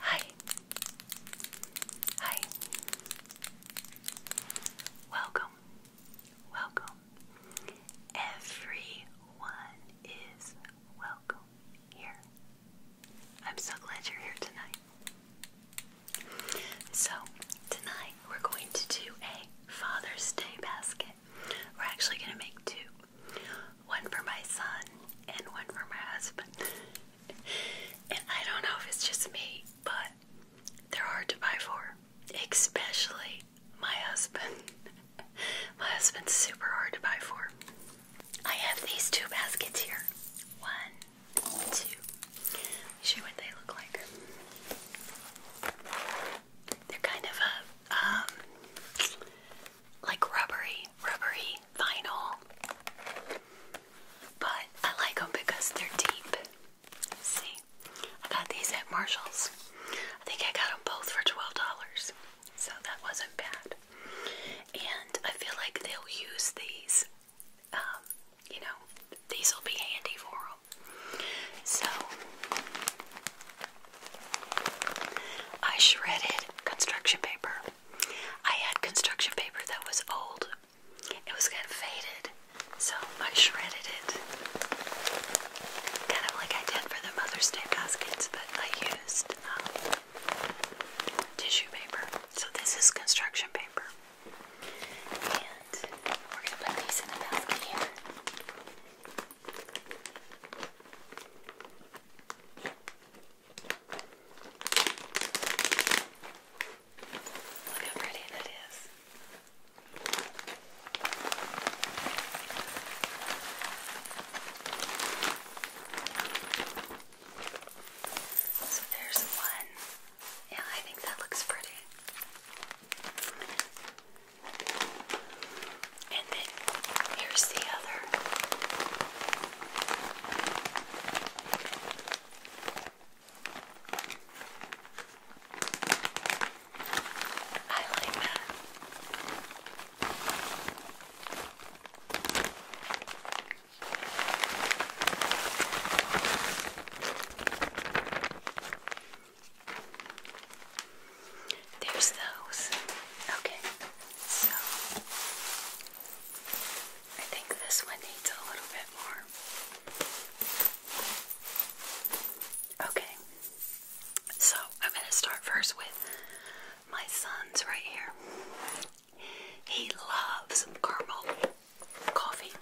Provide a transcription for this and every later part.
Hi. Hi. Welcome. Welcome. Everyone is welcome here. I'm so glad you're here tonight. So, tonight we're going to do a Father's Day basket. We're actually going to make two one for my son and one for my husband and I don't know if it's just me, but they're hard to buy for, especially my husband. my husband's super hard to buy for. I have these two baskets here. One, two. See what they look like. They're kind of a um like rubbery, rubbery vinyl. But I like them because they're deep. See, I got these at Marshall's. I think I got them both for $12, so that wasn't bad. And I feel like they'll use these, um, you know, these will be handy for them. So, I shredded construction paper. I had construction paper that was old. It was kind of faded, so I shredded it. Kind of like I did for the Mother's Day baskets, but I used um, tissue paper. So this is construction paper. And we're going to put these in the basket here. Look how pretty that is. So there's one. Yeah, I think that looks pretty. And then here's the other. I like that. There's those. Okay, so I think this one needs a little bit more. Okay, so I'm going to start first with my son's right here. He loves caramel coffee.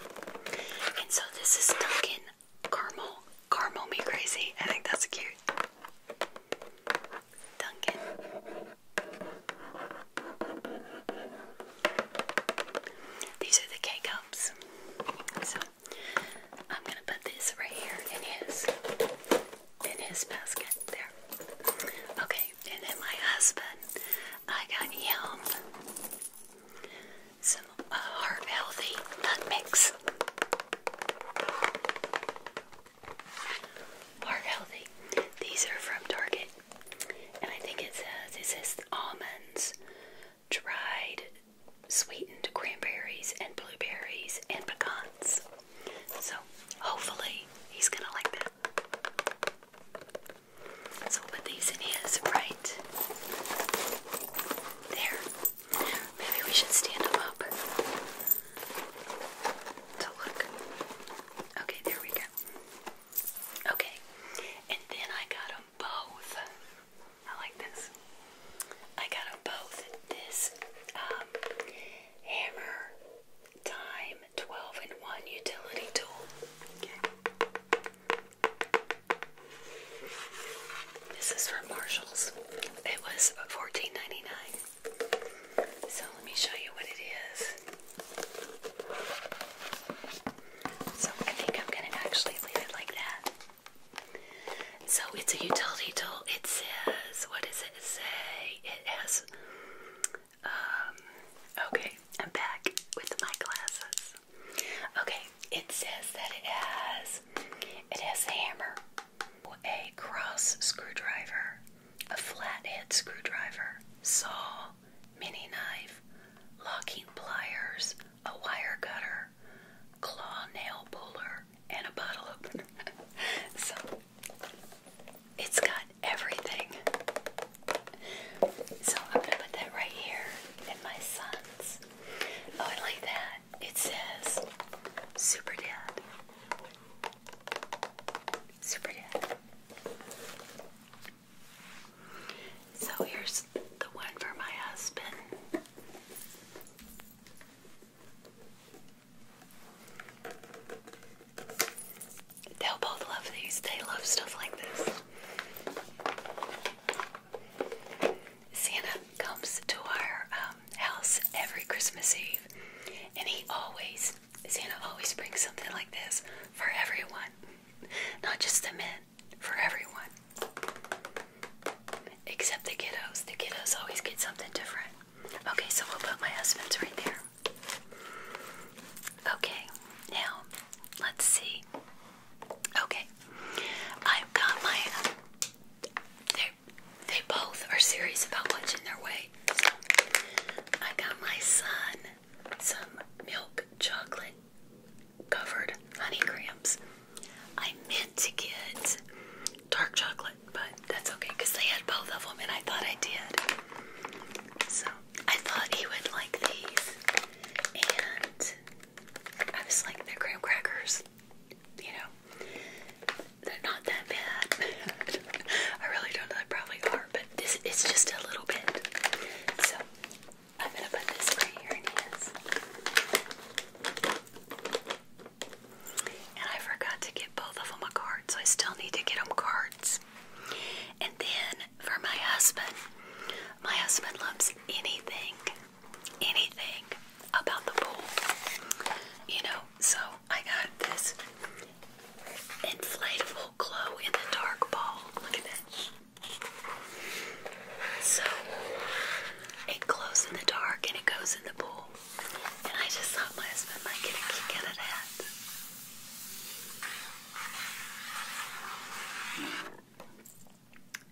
And so this is Dunkin' Caramel. Caramel me crazy. I think that's cute. Duncan. These are the K cups. So I'm gonna put this right here in his in his basket there. Okay, and then my husband, I got him some uh, heart healthy nut mix. Heart healthy. These are from Target. And I think it says it says almonds, dried, sweetened cranberries and blueberries and pecans. So hopefully he's gonna like that. So we'll put these in his right there. Maybe we should stand them up to look. Okay, there we go. Okay, and then I got them both. I like this. I got them both this um, hammer time 12 in 1 utility tool. This is from Marshalls. It was $14.99. So let me show you what it is. So I think I'm going to actually leave it like that. So it's a utility tool. It says, what does it say? It has, um, okay, I'm back with my glasses. Okay, it says that it has, it has a hammer a cross screwdriver, a flathead screwdriver, saw, mini knife, locking pliers, a wire cutter, claw nail puller, and a bottle opener. so it's got everything. So I'm going to put that right here in my son's. Oh, I like that it says Super Dad. So here's the one for my husband. They'll both love these. They love stuff like this. Santa comes to our um, house every Christmas Eve, and he always, Santa always brings something like this for everyone, not just the men, for everyone, except the kiddos. The kiddos always get something different. Okay, so we'll put my husband's right there. Okay, now let's see. Okay, I've got my. There, they both are serious about watching their weight. So I got my son some milk chocolate covered honey cramps. I meant to get dark chocolate, but that's okay because they had both of them and I thought I did. So I thought he would like these. And I was like, they're graham crackers you know, they're not that bad. I really don't know, they probably are, but this is just a little bit. So, I'm gonna put this right here in his. And I forgot to get both of them a card, so I still need to get them cards. And then for my husband, my husband loves anything anything about the pool. You know, so I got this inflatable glow in the dark ball. Look at that. So it glows in the dark and it goes in the pool. And I just thought my husband might get a kick out of that.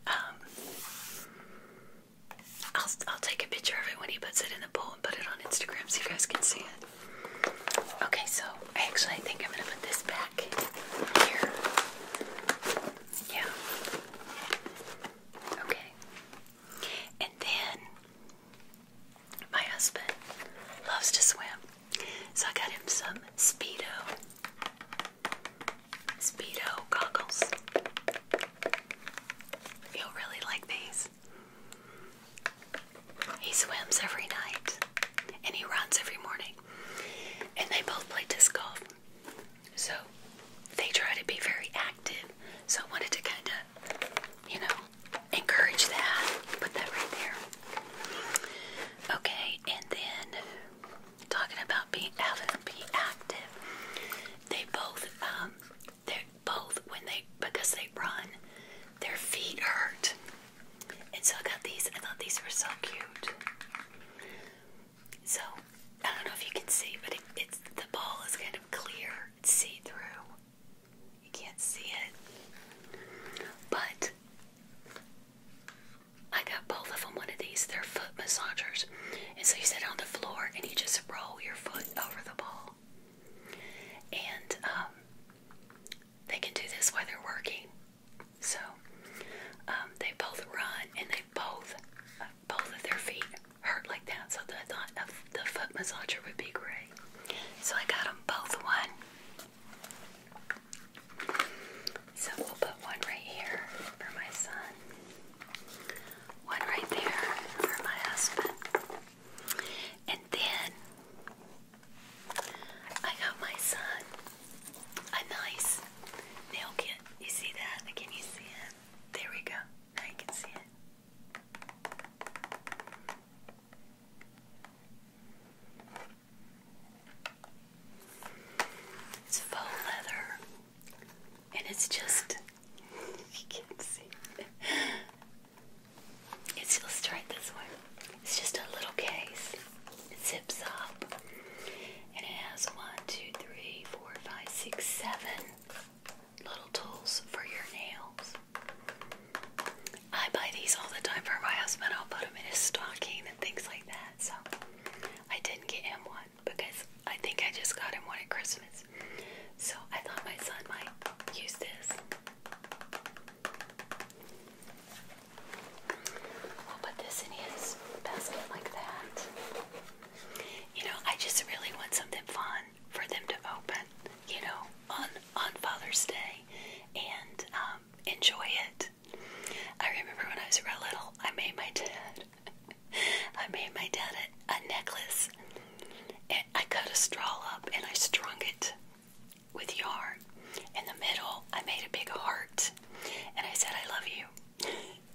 Um, I'll I'll take a picture of it when he puts it in the bowl and put it on Instagram so you guys can see it. Okay, so actually I think I'm gonna put this back here. Yeah. Okay. And then my husband loves to swim, so I got him some Speedo. Speedo goggles. You'll really like these. He swims every night and he runs every morning. And they both play disc golf. So they try to be very active. So I wanted to kind of, you know, encourage that. Put that right there. Okay, and then talking about being out and be active. They both, um, they both when they because they run, their feet hurt. And so I got these. I thought these were so cute. So I don't know if you can see, but it's the ball is kind of clear, see through. You can't see it, but I got both of them one of these. They're foot massagers. And so you sit on the floor and you just roll your foot over the ball. And um, they can do this while they're working. So um, they both run and they both, both of their feet hurt like that. So I thought the foot massager would be great. So I got them both one. So we'll put one right here for my son, one right there for my husband, and then I got my son a nice nail kit. You see that? Can you see it? There we go. Now you can see it. It's faux leather, and it's just you can't see. It's let's try it this one. It's just a little case. It zips up, and it has one, two, three, four, five, six, seven little tools for your nails. I buy these all the time for my husband. I'll put them in his stocking and things like that. So I didn't get him one because I think I just got him one at Christmas. So I thought my son might use this. We'll put this in his basket like that. You know, I just really want something fun for them to open, you know, on on Father's Day and um, enjoy it. I remember when I was real little, I made my dad, I made my dad a, necklace. And I cut a straw up and I strung it with yarn. In the middle, I made a big heart and I said, I love you.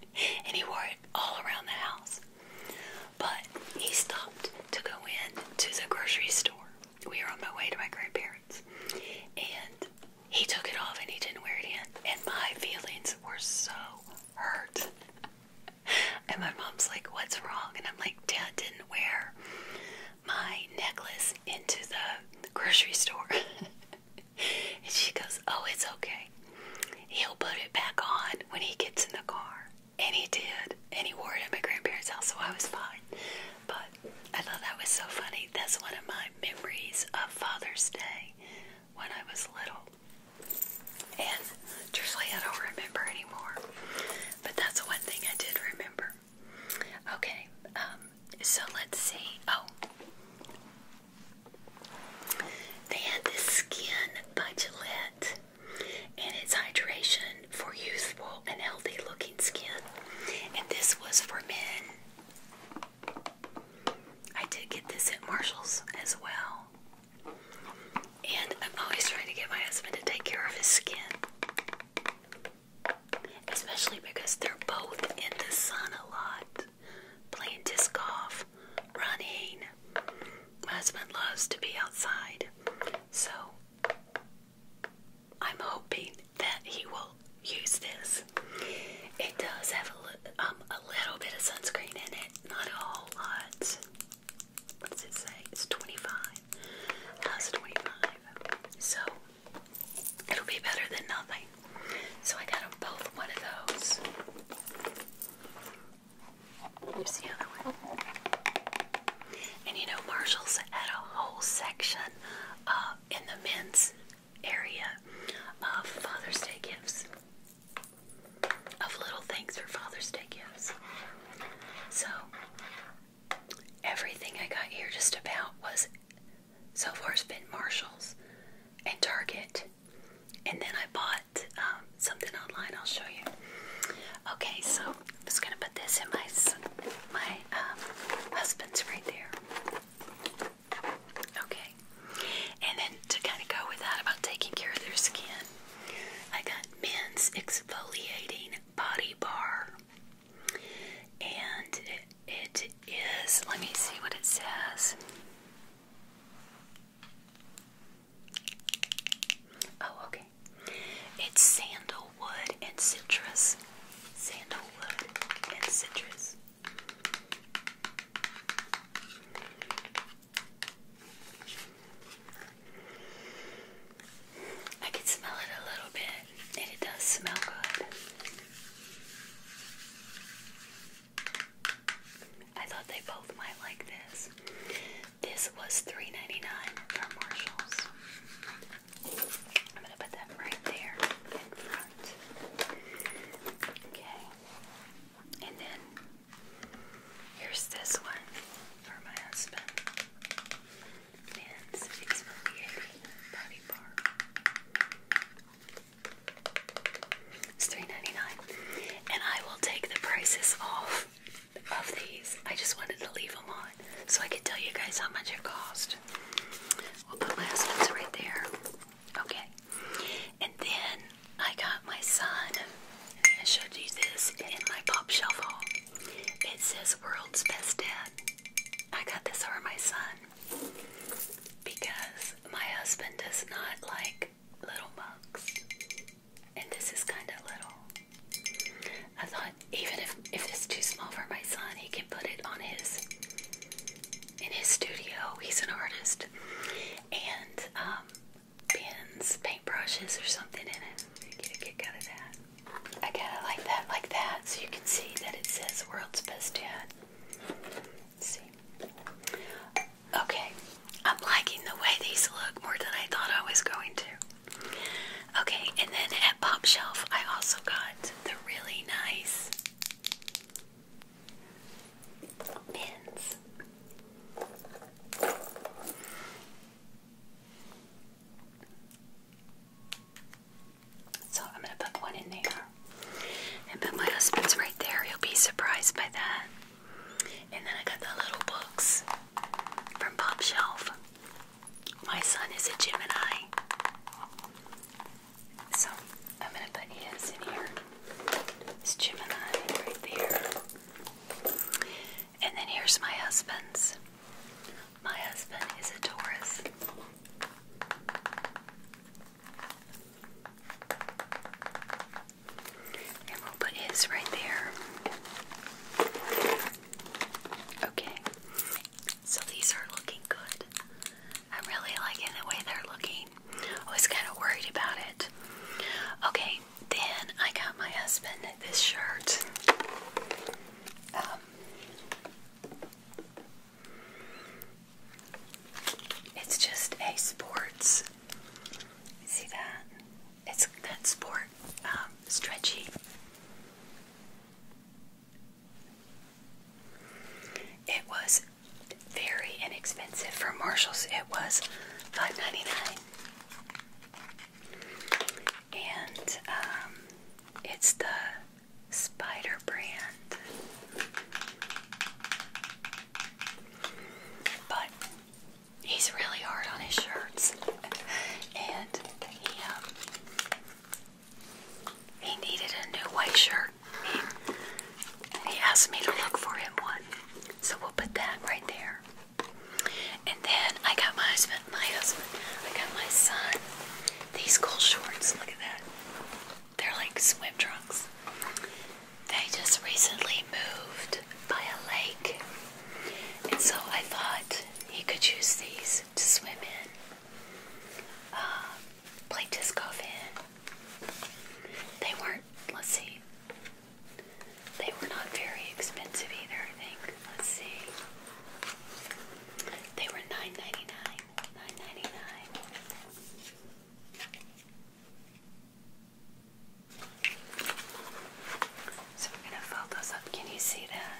and he wore it all around the house. But he stopped to go in to the grocery store. We were on our way to my grandparents. And he took it off and he didn't wear it in. And my feelings were so hurt. and my mom's like, What's wrong? And I'm like, Dad didn't wear my necklace into the grocery store. and she goes, Oh, it's okay. He'll put it back on when he gets in the car. And he did. And he wore it at my grandparents' house, so I was fine. But I thought that was so funny. That's one of my memories of Father's Day when I was little. And truthfully, I don't remember anymore. But that's the one thing I did remember. Okay, um, so let's see. Oh. They had this skin by Gillette, and it's hydration for youthful and healthy looking skin. And this was for men. I did get this at Marshall's as well. And I'm always trying to get my husband to take care of his skin. Especially because they're both in the sun a lot, playing disc golf, running. husband loves to be outside, so I'm hoping that he will use this. It does have a, um, a little bit of sunscreen in it, not a whole lot. What does it say? It's 25. That's 25. So it'll be better than nothing. So I got them both one of those. Here's the other one. And you know, Marshall's had a whole section uh, in the men's area of Father's Day gifts, of little things for Father's Day gifts. So, everything I got here just about was so far it's been Marshall's and Target. And then I bought um, something online. I'll show you. Okay, so I'm just gonna put this in my my um, husband's right there. Okay. And then to kind of go with that about taking care of their skin, I got men's exfoliating body bar. And it is, let me see what it says. Oh, okay. It's sandal sandalwood and citrus. Sandalwood and citrus. I can smell it a little bit, and it does smell good. I thought they both might like this. This was 3 dollars Marshalls. I'm going to put them right there in front. Okay. And then here's this one for my husband. It's $3.99. And I will take the prices off of these. I just wanted to leave them on so I could tell you guys how much it cost. We'll put last ones right there. Okay. And then I got my son, I showed you this in my pop shelf It says World's Best Dad. I got this for my son because my husband does not like little mugs. And this is kind of little. I thought but even if if it's too small for my son, he can put it on his in his studio. He's an artist, and um, pens, paintbrushes, or something in it. You get a kick out of that. I kind of like that, like that, so you can see that it says "World's Best Dad." Let's see. Okay, I'm liking the way these look more than I thought I was going to. Okay, and then at Pop Shelf, I also got the really nice pins. So I'm going to put one in there and put my husband's right there. He'll be surprised by that. And then I got the little books from Pop Shelf. My son is a Gemini. So I'm going to put his in here. It's Gemini right there. And then here's my husband's. My husband is a Taurus. And we'll put his right there. Okay. So these are looking good. I'm really liking the way they're looking. I was kind of worried about it. Okay, then I got my husband this shirt. Um, it's just a sports. See that? It's that sport um, stretchy it was very inexpensive for Marshalls. It was $5.99. And um, it's the Spider brand. But he's really hard on his shirts. and he, um, he needed a new white shirt. he asked me to look for him one. So we'll put that right there. And then I got my husband, my husband, I got my son these cool shorts. Look at that. They're like swim trunks. They just recently moved by a lake. And so I thought he could use these to swim in, uh, play in. They weren't, let's see, they were not very expensive either, I think. Let's see. They were nine ninety nine. Nine ninety nine. So we're gonna fold those up. Can you see that?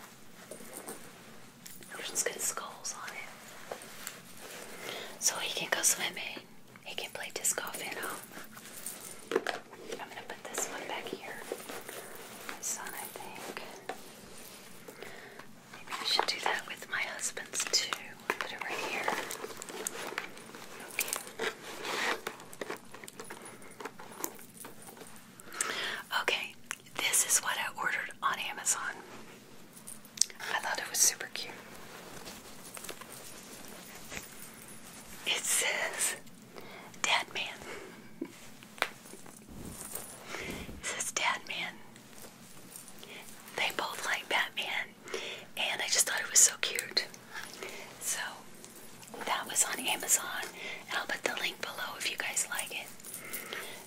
I'll skulls on it. So he can go swimming. He can play disc golf at home. I'm gonna put this one back here. This one, I think. I should do that with my husband's too. Put it right here. Okay. Okay, this is what I ordered on Amazon. I thought it was super cute. It says Dead Man. It says Dead Man. They both like Batman, and I just thought it was so cute. So that was on Amazon, and I'll put the link below if you guys like it.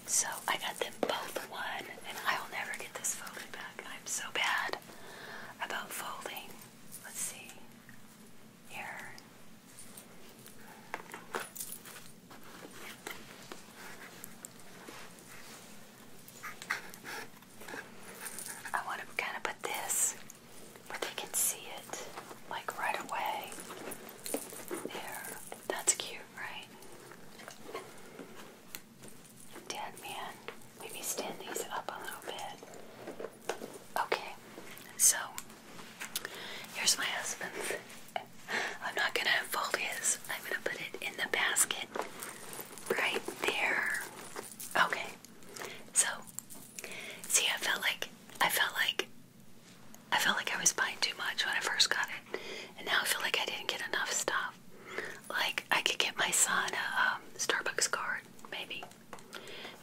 So I got them both one, and I will never get this folded back. I'm so bad about folding. Let's see here. I want to kind of put this but they can see it like right away. There. That's cute, right? Dead man. Maybe stand these up a little bit. Okay, so here's my husband's. I'm not gonna fold his. I'm gonna put it in the basket right there. Okay, so See, I felt like I felt like I felt like I was buying too much when I first got it, and now I feel like I didn't get enough stuff. Like I could get my son a um, Starbucks card, maybe,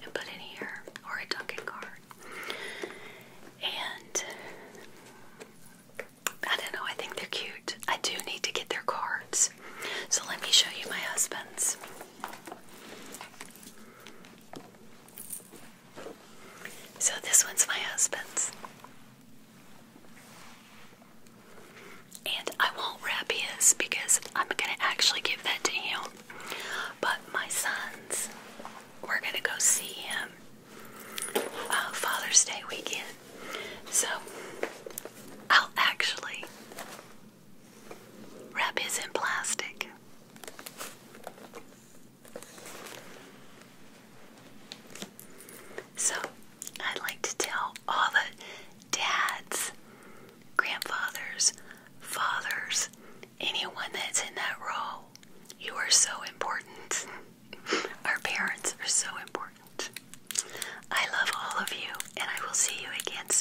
and put in here, or a Dunkin' card, and I don't know. I think they're cute. I do need to get their cards, so let me show you my husband's. So this one's my husband's. And I won't wrap his because I'm going to actually give that to him. But my son's, we're going to go see him uh, Father's Day weekend. So I'll actually Wrap is in plastic. So, I'd like to tell all the dads, grandfathers, fathers, anyone that's in that role, you are so important. Our parents are so important. I love all of you, and I will see you again soon.